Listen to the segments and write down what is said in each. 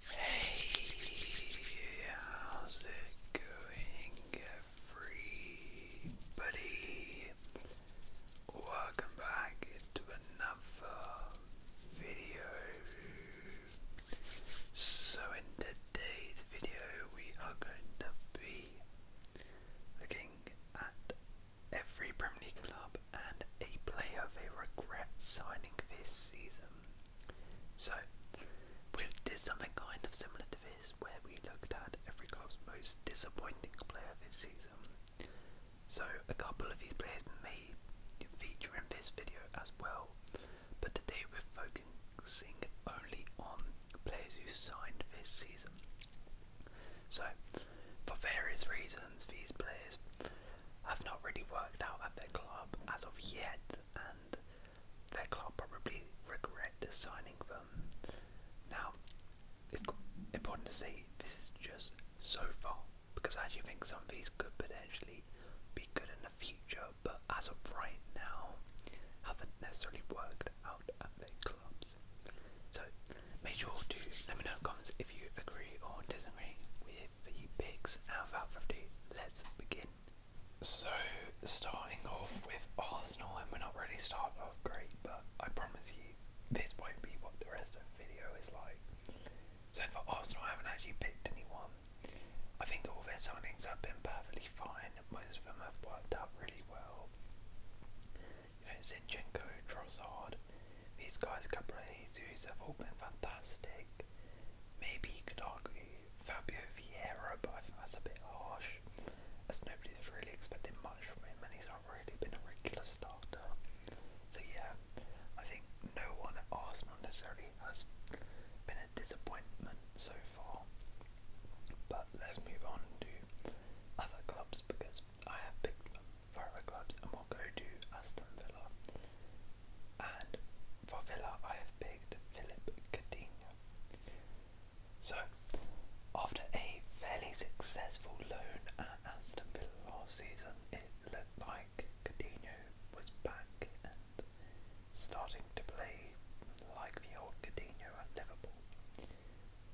Hey, how's it going, everybody? Welcome back to another video. So, in today's video, we are going to be looking at every Premier League club and a player they regret signing this season. So, we did something kind of similar to this, where we looked at every club's most disappointing player this season. So, a couple of these players may feature in this video as well, but today we're focusing only on players who signed this season. So, for various reasons, these players have not really worked out at their club as of yet, and their club probably regret signing them. Now, it's important to say this is just so far because I do think some of these could potentially be good in the future, but as of right now, haven't necessarily worked out at their clubs. So, make sure to let me know in comments if you agree or disagree with the picks and Valverde. Let's begin. So, starting off with Arsenal, and we're not really starting off great, but I promise you, this won't be what the rest of the video is like. So for Arsenal, I haven't actually picked anyone. I think all their signings have been perfectly fine. Most of them have worked out really well. You know, Zinchenko, Trossard, these guys, Gabriel Jesus, have all been fantastic. Maybe you could argue Fabio Vieira, but I think that's a bit harsh, as nobody's really expecting much from him, and he's not really been a regular starter. So yeah, I think no one at Arsenal necessarily has been a disappointment so far. But let's move on to other clubs because I have picked them clubs, and we'll go to Aston Villa. And for Villa, I have picked Philip Coutinho. So, after a fairly successful loan at Aston Villa last season, it looked like Coutinho was back and starting to play like the old Coutinho at Liverpool.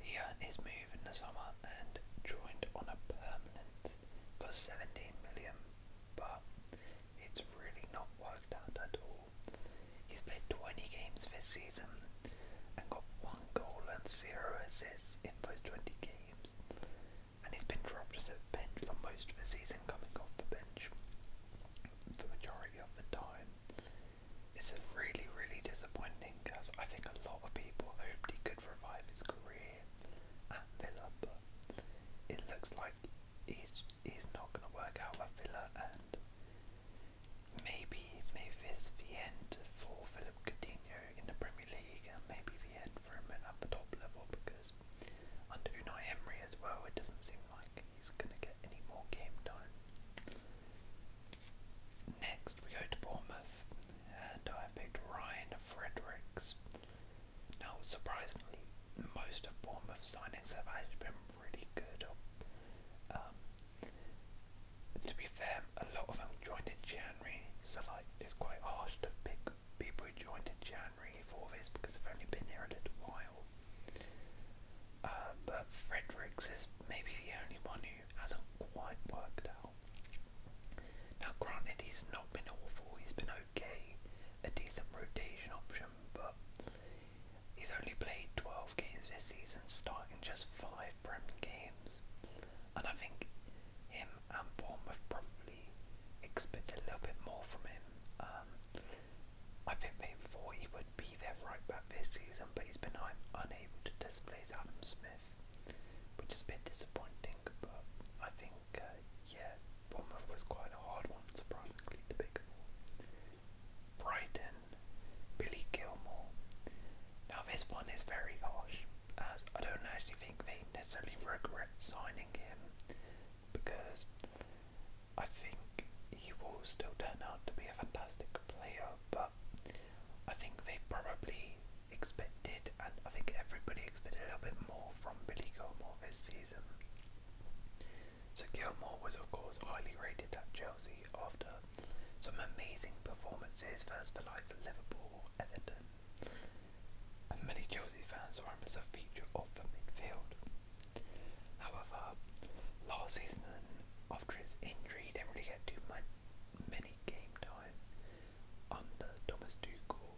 He earned his move in the summer and joined on a permanent for 17 million but it's really not worked out at all. He's played 20 games this season and got one goal and zero assists in those 20 games, and he's been dropped to the bench for most of the season, coming off the bench the majority of the time. It's really, really disappointing because I think a lot of people hoped he could revive his career at Villa, but it looks like he's he's not going to work out with Villa, and maybe maybe this is the for Philip Coutinho in the Premier League, and maybe the end for him at the top level because under Unai Emery as well, it doesn't seem like he's going to get any more game time. Next, we go to Bournemouth, and I have picked Ryan Fredericks. Now, surprisingly, most of signings have been really good. Um, to be fair, a lot of them joined in January, so like it's quite harsh to pick people who joined in January for this because they've only been here a little while. Uh, but Fredericks is maybe the only one who hasn't quite worked out. Now, granted, he's not been awful, he's been okay, a decent rotation option, but he's only played 12 games this season, starting just 5 Prem games. And I think him and Bournemouth probably expect a little bit more from him. Um, I think they he would be their right back this season, but he's been unable to displace Adam Smith, which is a bit disappointing. But I think yeah, Bournemouth was quite a hard one, surprisingly, to pick Brighton, Billy Gilmore. Now, this one is very harsh, as I don't actually think they necessarily regret signing him because I think he will still turn out to be a fantastic player, but I think they probably expected and I think everybody expected a little bit more from Billy Gilmore this season. So Gilmore was of course highly rated at Chelsea after some amazing performances first for likes Liverpool, Everton, many Chelsea fans saw him as feature of the midfield. However, last season after his injury didn't really get too much many game time under Thomas Tuchel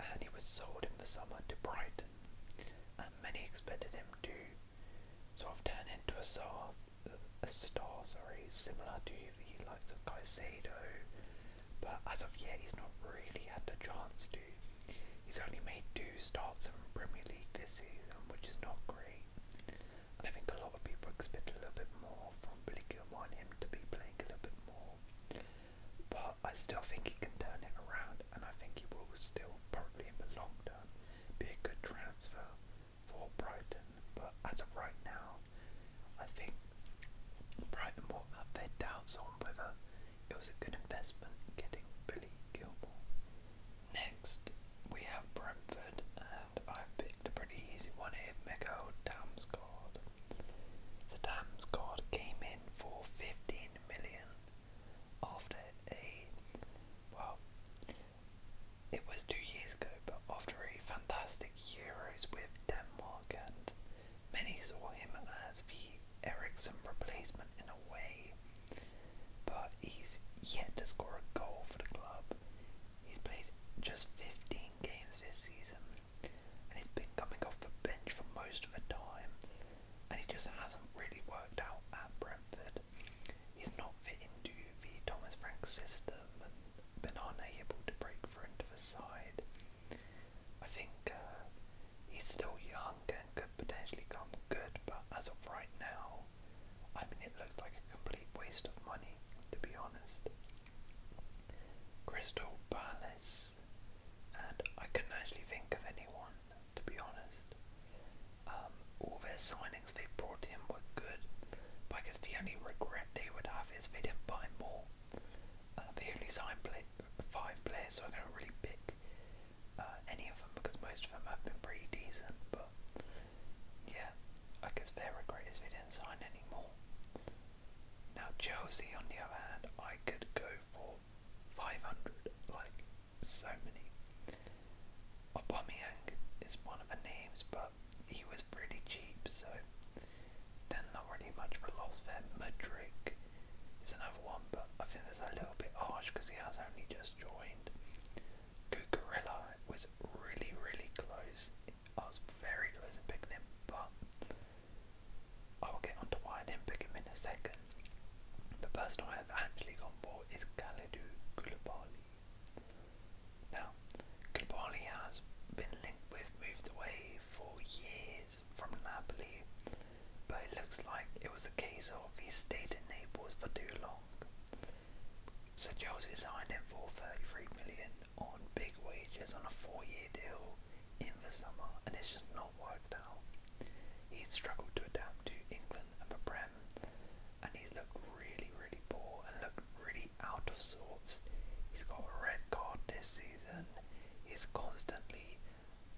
and he was sold in the summer to Brighton, and many expected him to sort of turn into a star, a star sorry, similar to the likes of Caicedo, but as of yet he's not really had the chance to. He's only made two starts in Premier League this season, which is not great, and I think a lot of people expect a little bit more from Billy Gilmore and him to be playing a little bit more. But I still think he can turn it around, and I think he will still probably in the long term be a good transfer for Brighton. But as of right now, I think Brighton will have their doubts on whether it was a good investment getting Billy Gilmore. Next, we have Brentford, and I've picked a pretty easy one here, Mikael Damsgaard. So Damsgaard came in for 15 million after a well it was two years ago but after a fantastic Euros with Denmark and many saw him as the Ericsson replacement in a way but he's yet to score a goal for the club. He's played just 15 games this season and he's been coming off the bench for most of the time, and he just hasn't really worked out at Brentford. He's not fit into the Thomas Frank system and been unable to break through into the side. I think uh, he's still young and could potentially come good, but as of right now, I mean, it looks like a complete waste of money, to be honest. Crystal Palace this, and I couldn't actually think of anyone, to be honest. Um, all their signings they brought in were good, but I guess the only regret they would have is they didn't buy more. Uh, they only signed play five players, so I don't really pick uh, any of them because most of them have been pretty decent, but yeah, I guess their regret is they didn't sign any more. Now Chelsea, on the other hand, I could go for 500, like so many. Aubameyang is one of the names, but he was pretty cheap, so then, not really much for loss there. Mudrick is another one, but I think that's a little bit harsh because he has only just joined. Cucurella was really, really close. I was very close to picking him, but I will get onto why I didn't pick him in a second. The person I have actually gone for is Kalidou Koulibaly. Now, Koulibaly has been linked with, moved away for years from Napoli, but it looks like it was a case of he stayed in Naples for too long. So Chelsea signed him for 33 million on big wages on a four-year deal in the summer and it's just not worked out. He's struggled to adapt to England and the Prem and he's looked really, really poor and looked really out of sorts. He's got a red card this season. He's constantly,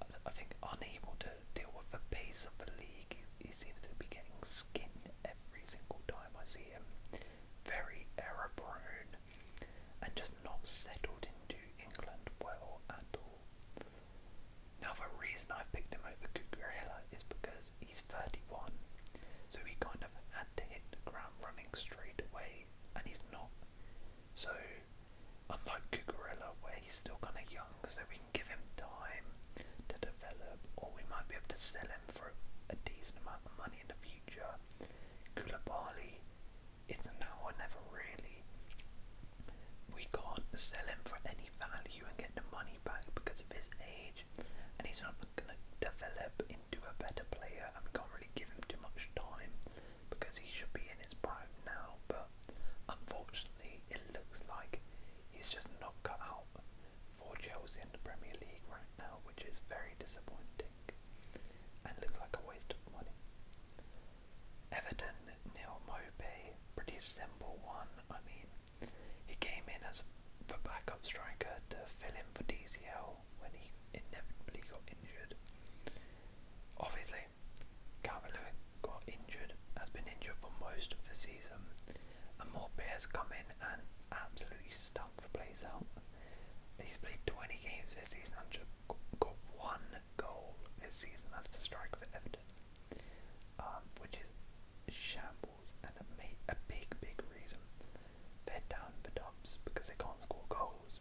I think, unable to deal with the pace of the league. He, he seems to be getting skinned every single time I see him. Very error prone, and just not settled into England well at all. Now the reason I've picked him over Cucurella is because he's 31, so he kind of had to hit the ground running straight away, and he's not. So unlike Cucurella where he's still kind of young, so we can give him time to develop, or we might be able to sell him for a decent amount of money in the future. Koulibaly it's now or never really. We can't sell him for any value and get the money back because of his age, and he's not going to develop into a better player. And we can't really give him too much time because he should be in his prime now. But unfortunately, it looks like he's just not cut out for Chelsea in the Premier League right now, which is very disappointing. It looks like a waste of money. Everton nil Mope, pretty simple one. I mean, he came in as a backup striker to fill in for DCL when he inevitably got injured. Obviously, Calvin got injured, has been injured for most of the season, and Morpe has come in and absolutely stunk for plays out. He's played 20 games this season, 100 got one goal this season as the strike for Everton, um, which is shambles and a, ma a big, big reason they down in the because they can't score goals.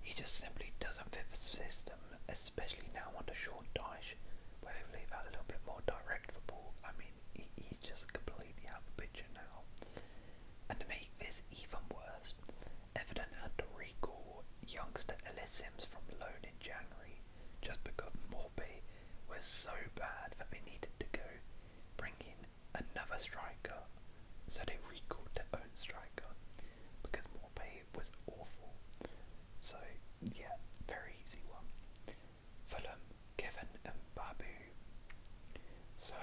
He just simply doesn't fit the system, especially now under short Dyche, where they leave out a little bit more direct football. I mean, he, he's just completely out of the picture now. And to make this even worse, Everton had to recall youngster Ellis from loan in January just because Morby was so bad that they needed to go bring in another striker. So they recalled their own striker because Morby was awful. So yeah, very easy one. Fulham, Kevin and Babu. So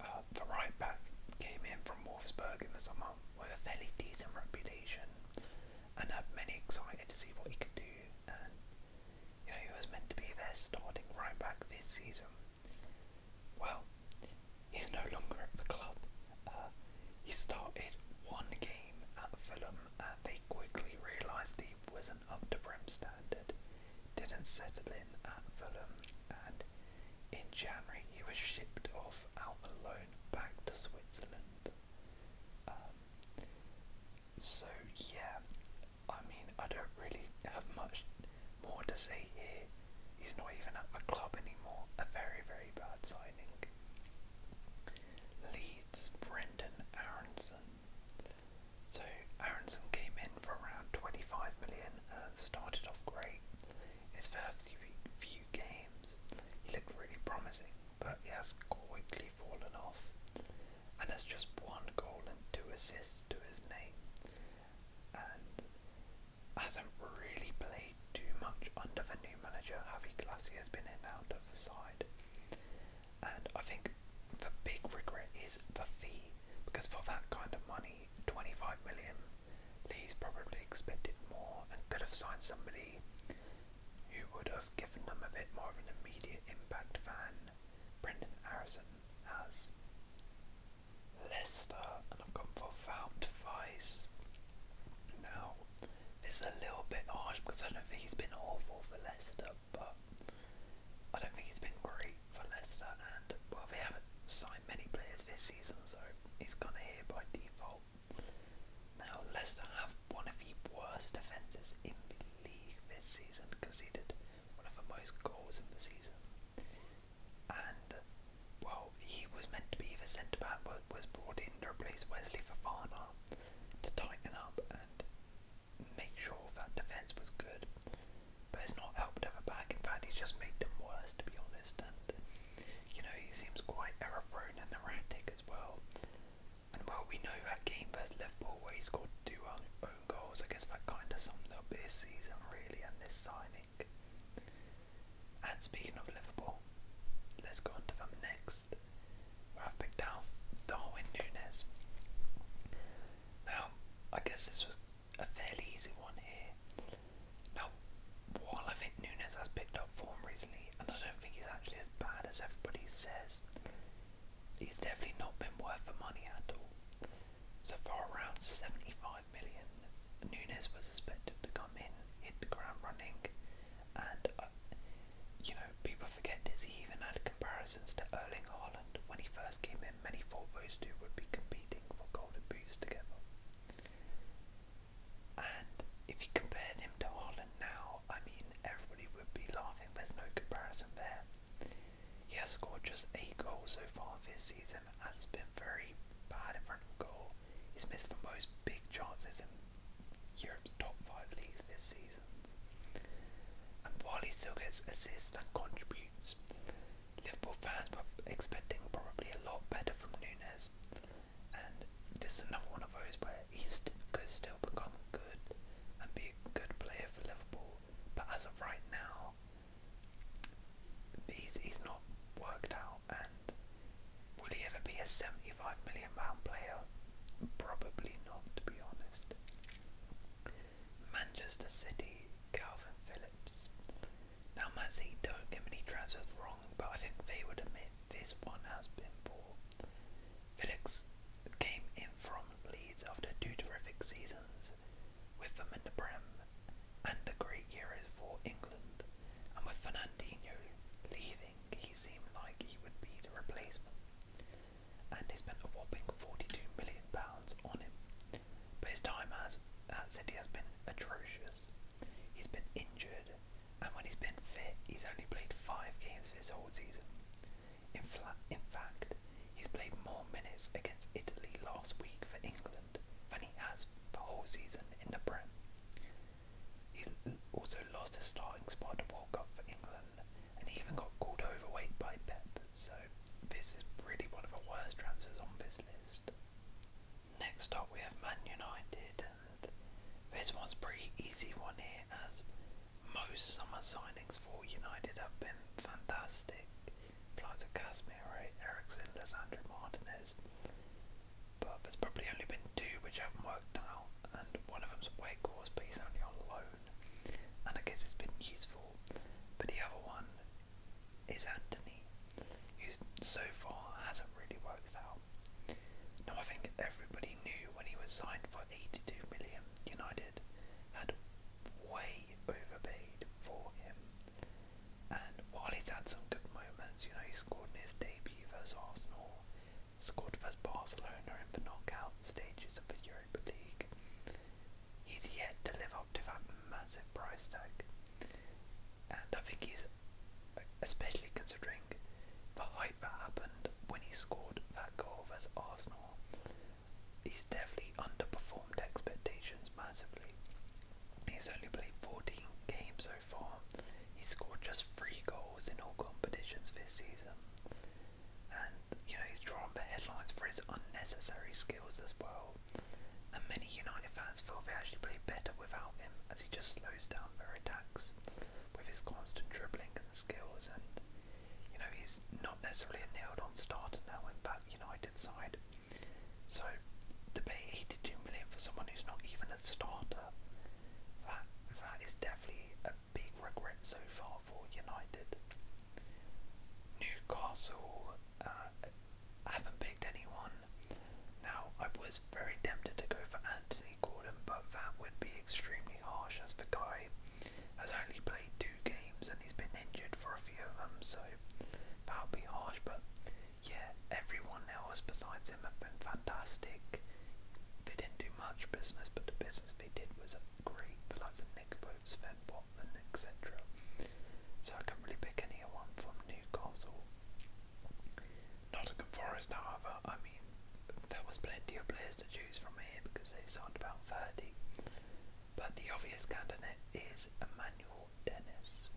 uh, the right back came in from Wolfsburg in the summer with a fairly decent reputation and I'm very excited to see what he can do. And you know, he was meant to be there, starting right back this season. Well, he's no longer at the club. Uh, he started one game at Fulham and they quickly realised he wasn't up to Brem standard, didn't settle in at Fulham, and in January, he was shipped off out alone back to Switzerland. Um, so, yeah, I mean, I don't really have much more to say here. He's not even at the club anymore. A very, very bad signing. Leeds, Brendan Aronson. So, Aronson came in for around 25 million Ryan uh, started off great. His first few games, he looked really promising, but he has quickly fallen off and has just one goal and two assists to his name. And hasn't really played too much under the new manager Javi Glassy has been in and out of the side. And I think the big regret is the fee because for that kind of money 25 million. He's probably expected more and could have signed somebody who would have given them a bit more of an immediate impact than Brendan Harrison has. Leicester, and I've gone for Vout Now, this is a little bit harsh because I don't think he's been awful for Leicester, but I don't think he's been great for Leicester, and well, they haven't signed many players this season, so he's gone here by default. Now, Leicester have one of the worst defences in the league this season, conceded one of the most goals in the season. And, well, he was meant to be the centre back, but was brought in to replace Wesley Fafana to tighten up and make sure that defence was good but it's not helped her back. In fact, he's just made them worse, to be honest. And you know, he seems quite error prone and erratic as well. And well, we know that game versus Liverpool where he scored two own goals. I guess that kind of summed up his season really and this signing. And speaking of Liverpool, let's go on to them next. Where I've picked out Darwin Nunes. Now, I guess this was a fairly easy one here. Now, while I think Nunes has picked up form recently, and I don't think he's actually as bad as everybody says, he's definitely not been worth the money at all. So for around 75 million, Nunes was expected to come in, hit the ground running, and uh, you know people forget this. He even had comparisons to Erling Haaland when he first came in many thought those would be competing for golden boots together. And if you compared him to Haaland now, I mean, everybody would be laughing. There's no comparison there. He has scored just eight goals so far this season, has been very bad in front of goal. He's missed the most big chances in Europe's top five leagues this season. And while he still gets assists and contributes, Liverpool fans were expecting probably a lot better from Nunes, and this is another one of those where he st could still become good and be a good player for Liverpool, but as of right now, he's, he's not worked out. And will he ever be a 75 million pound player? Probably not, to be honest. Manchester City, Calvin Phillips. Now, Man City don't get many transfers wrong, but I think they would admit this one has been poor. Felix came in from Leeds after two terrific seasons with them in the Prem and a great Euros for England, and with Fernandinho leaving, he seemed like he would be the replacement. And they spent a whopping £42 million on him. But his time has, at City has been atrocious. He's been injured, and when he's been fit, he's only played five games this whole season. In, in fact, he's played more minutes against Italy last week for England than he has the whole season in the Prem. He's also lost his starting spot at World Cup for England and even got called overweight by Pep so this is really one of the worst transfers on this list. Next up, we have Man United, and this one's pretty easy one here, as most summer signings for United have been fantastic. Flights of Casemiro, Ericsson, Lissandro Martinez, but there's probably only been two which haven't worked out, and one of them's Wake Forest, but he's only on loan, and I guess it's been useful. But the other one is Anthony, who so far hasn't really worked out. Now, I think everybody knew when he was signed for 82 million, United had way overpaid for him. And while he's had some good moments, you know, he scored in his debut versus Arsenal, scored versus Barcelona in the knockout stages of the Europa League, he's yet to live helped that massive price tag. And I think he's, especially considering the hype that happened when he scored that goal versus Arsenal, he's definitely underperformed expectations massively. He's only played 14 games so far. He scored just three goals in all competitions this season. And, you know, he's drawn the headlines for his unnecessary skills as well and many United fans feel they actually play better without him as he just slows down their attacks with his constant dribbling and skills and you know he's not necessarily a nailed on starter now in that United side. So to pay eighty two million for someone who's not even a starter, that that is definitely a big regret so far for United. Newcastle uh, I haven't picked anyone. Now, I was very tempted to go for Anthony Gordon, but that would be extremely harsh as the guy has only played two games and he's been injured for a few of them, so that would be harsh. But yeah, everyone else besides him have been fantastic. They didn't do much business, but the business they did was great. The likes of Nick Pope, Sven Botman, etc. So I can't really pick anyone from Newcastle. Nottingham Forest, however, I mean, there was plenty of players to choose from here because they signed about 30. But the obvious candidate is Emmanuel Dennis.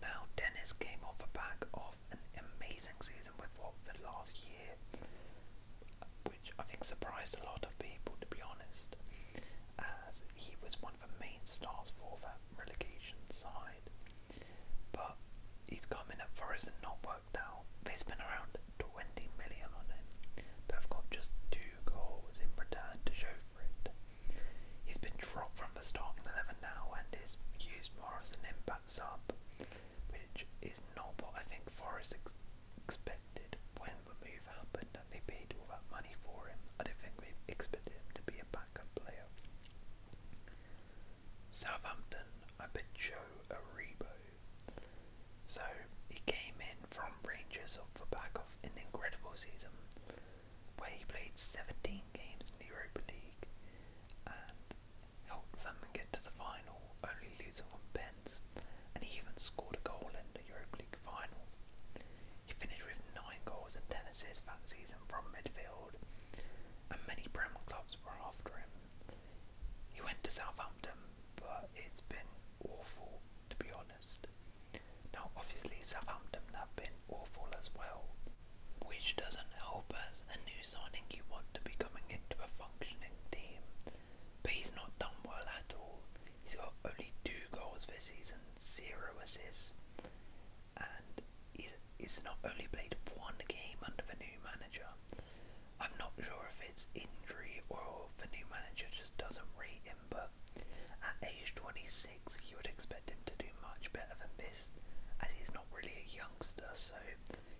Now, Dennis came off the back of an amazing season with Watford last year, which I think surprised a lot of people, to be honest, as he was one of the main stars for that relegation side. But he's come in at Forest and not worked out. They spent around 20 million on him, but have got just two goals in return to show for it. He's been dropped from the starting 11 now and is used more as an impact sub, which is not what I think Forest ex expected when the move happened they paid all that money for him. I don't think they expected him to be a backup player. Southampton, I picked Joe Aribo. So he came in from Rangers off the back of an incredible season where he played 17 games in the Europa League and helped them get to the final, only losing one pens, and he even scored a goal in the Europa League final. He finished with 9 goals and 10 assists that season from midfield, and many Premier clubs were after him. He went to Southampton, but it's been awful to be honest. Now, obviously, Southampton have been awful as well, which doesn't help us. a new signing you want to be coming into a functioning team. But he's not done well at all, He's got only two goals this season, zero assists, and he's, not only played one game under the new manager. I'm not sure if it's injury or the new manager just doesn't rate him, but at age 26, you would expect him to do much better than this, as he's not really a youngster, so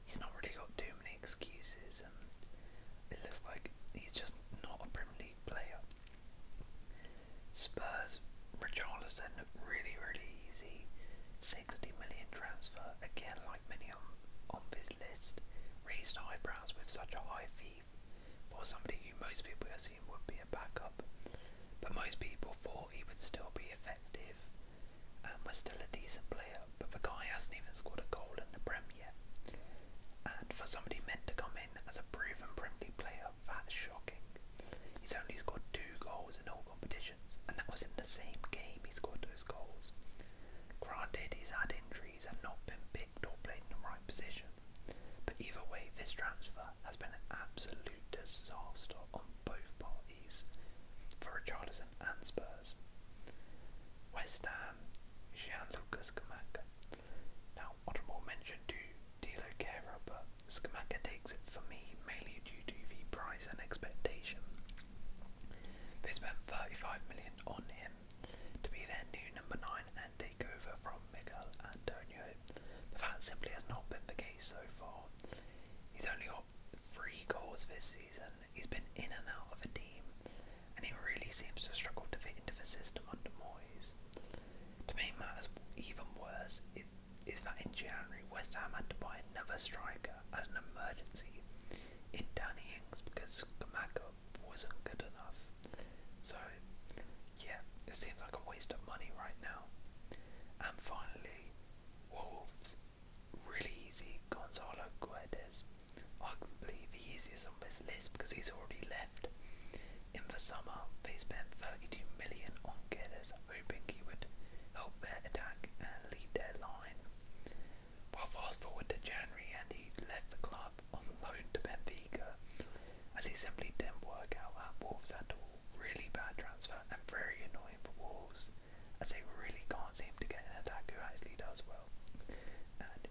he's not really got too many excuses, and it looks like he's just not a Premier League player. Spurs, Richarlison looked really, really easy. 60 million transfer, again, like many on, this list, raised eyebrows with such a high fee for somebody who most people assume would be a backup. But most people thought he would still be effective and was still a decent player, but the guy hasn't even scored a goal in the Prem yet. And for somebody meant to come in as a proven Premier League player, that's shocking. He's only scored two goals in all competitions, and that was in the same game he scored those goals. Granted, he's had injuries and not been picked or played in the right position, but either way, this transfer has been an absolute disaster on both parties for Richarlison and Spurs. West Ham, Jean Lucas Now, now, honourable mention to Dilo Kera, but Skamaka takes it for me mainly due to the price and expectation. They spent 35 million on him to be their new number 9 and take over from Miguel Antonio, but that simply has not been the case so far. He's only got three goals this season, he's been in and out of the team, and he really seems to struggle to fit into the system under Moyes. To make matters even worse, it is that in January West Ham had to buy another striker as an emergency in Danny Ings because Kamaka wasn't good enough. So, yeah, it seems like a waste of money right now. And finally, Wolves, really easy, Gonzalo Guedes, arguably the easiest on this list because he's already left left. In the summer, they spent 32 million on Geddes, hoping he would help their attack and lead their line. Well, fast forward to January, and he left the club on loan to Benfica, as he simply didn't work out at Wolves at all. Really bad transfer and very annoying for Wolves, as they really can't seem to get an attacker who actually does well. And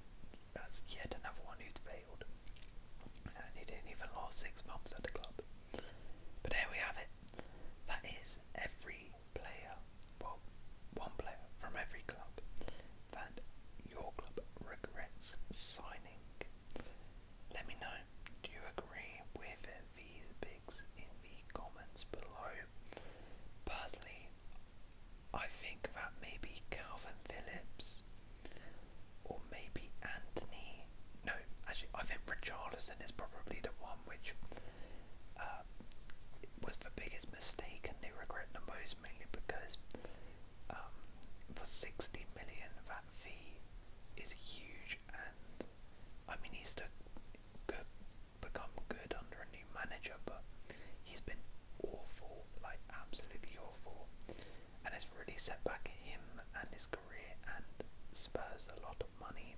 that's yet another one who's he didn't even last six months at the club. But there we have it. That is every player, well, one player from every club that your club regrets signing. Let me know, do you agree with these picks in the comments below? Personally, I think that maybe Calvin Phillips or maybe Anthony. No, actually, I think Richarlison is probably the one which uh, was the biggest mistake and they regret the most, mainly because um, for 60 million, that fee is huge. And I mean, he's to good, become good under a new manager, but he's been awful, like absolutely awful, and it's really set back him and his career and Spurs a lot of money.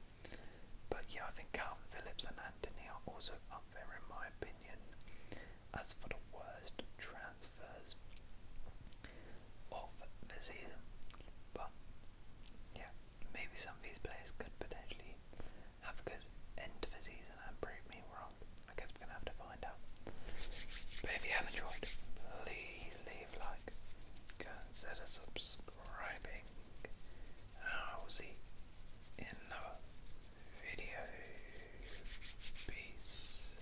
But yeah, I think Calvin Phillips and Anthony are also up there in my opinion. As for the worst transfers of the season, but yeah, maybe some of these players could potentially have a good end to the season and prove me wrong. I guess we're going to have to find out. But if you have enjoyed, please leave like, consider subscribing, and I will see in another video. Peace.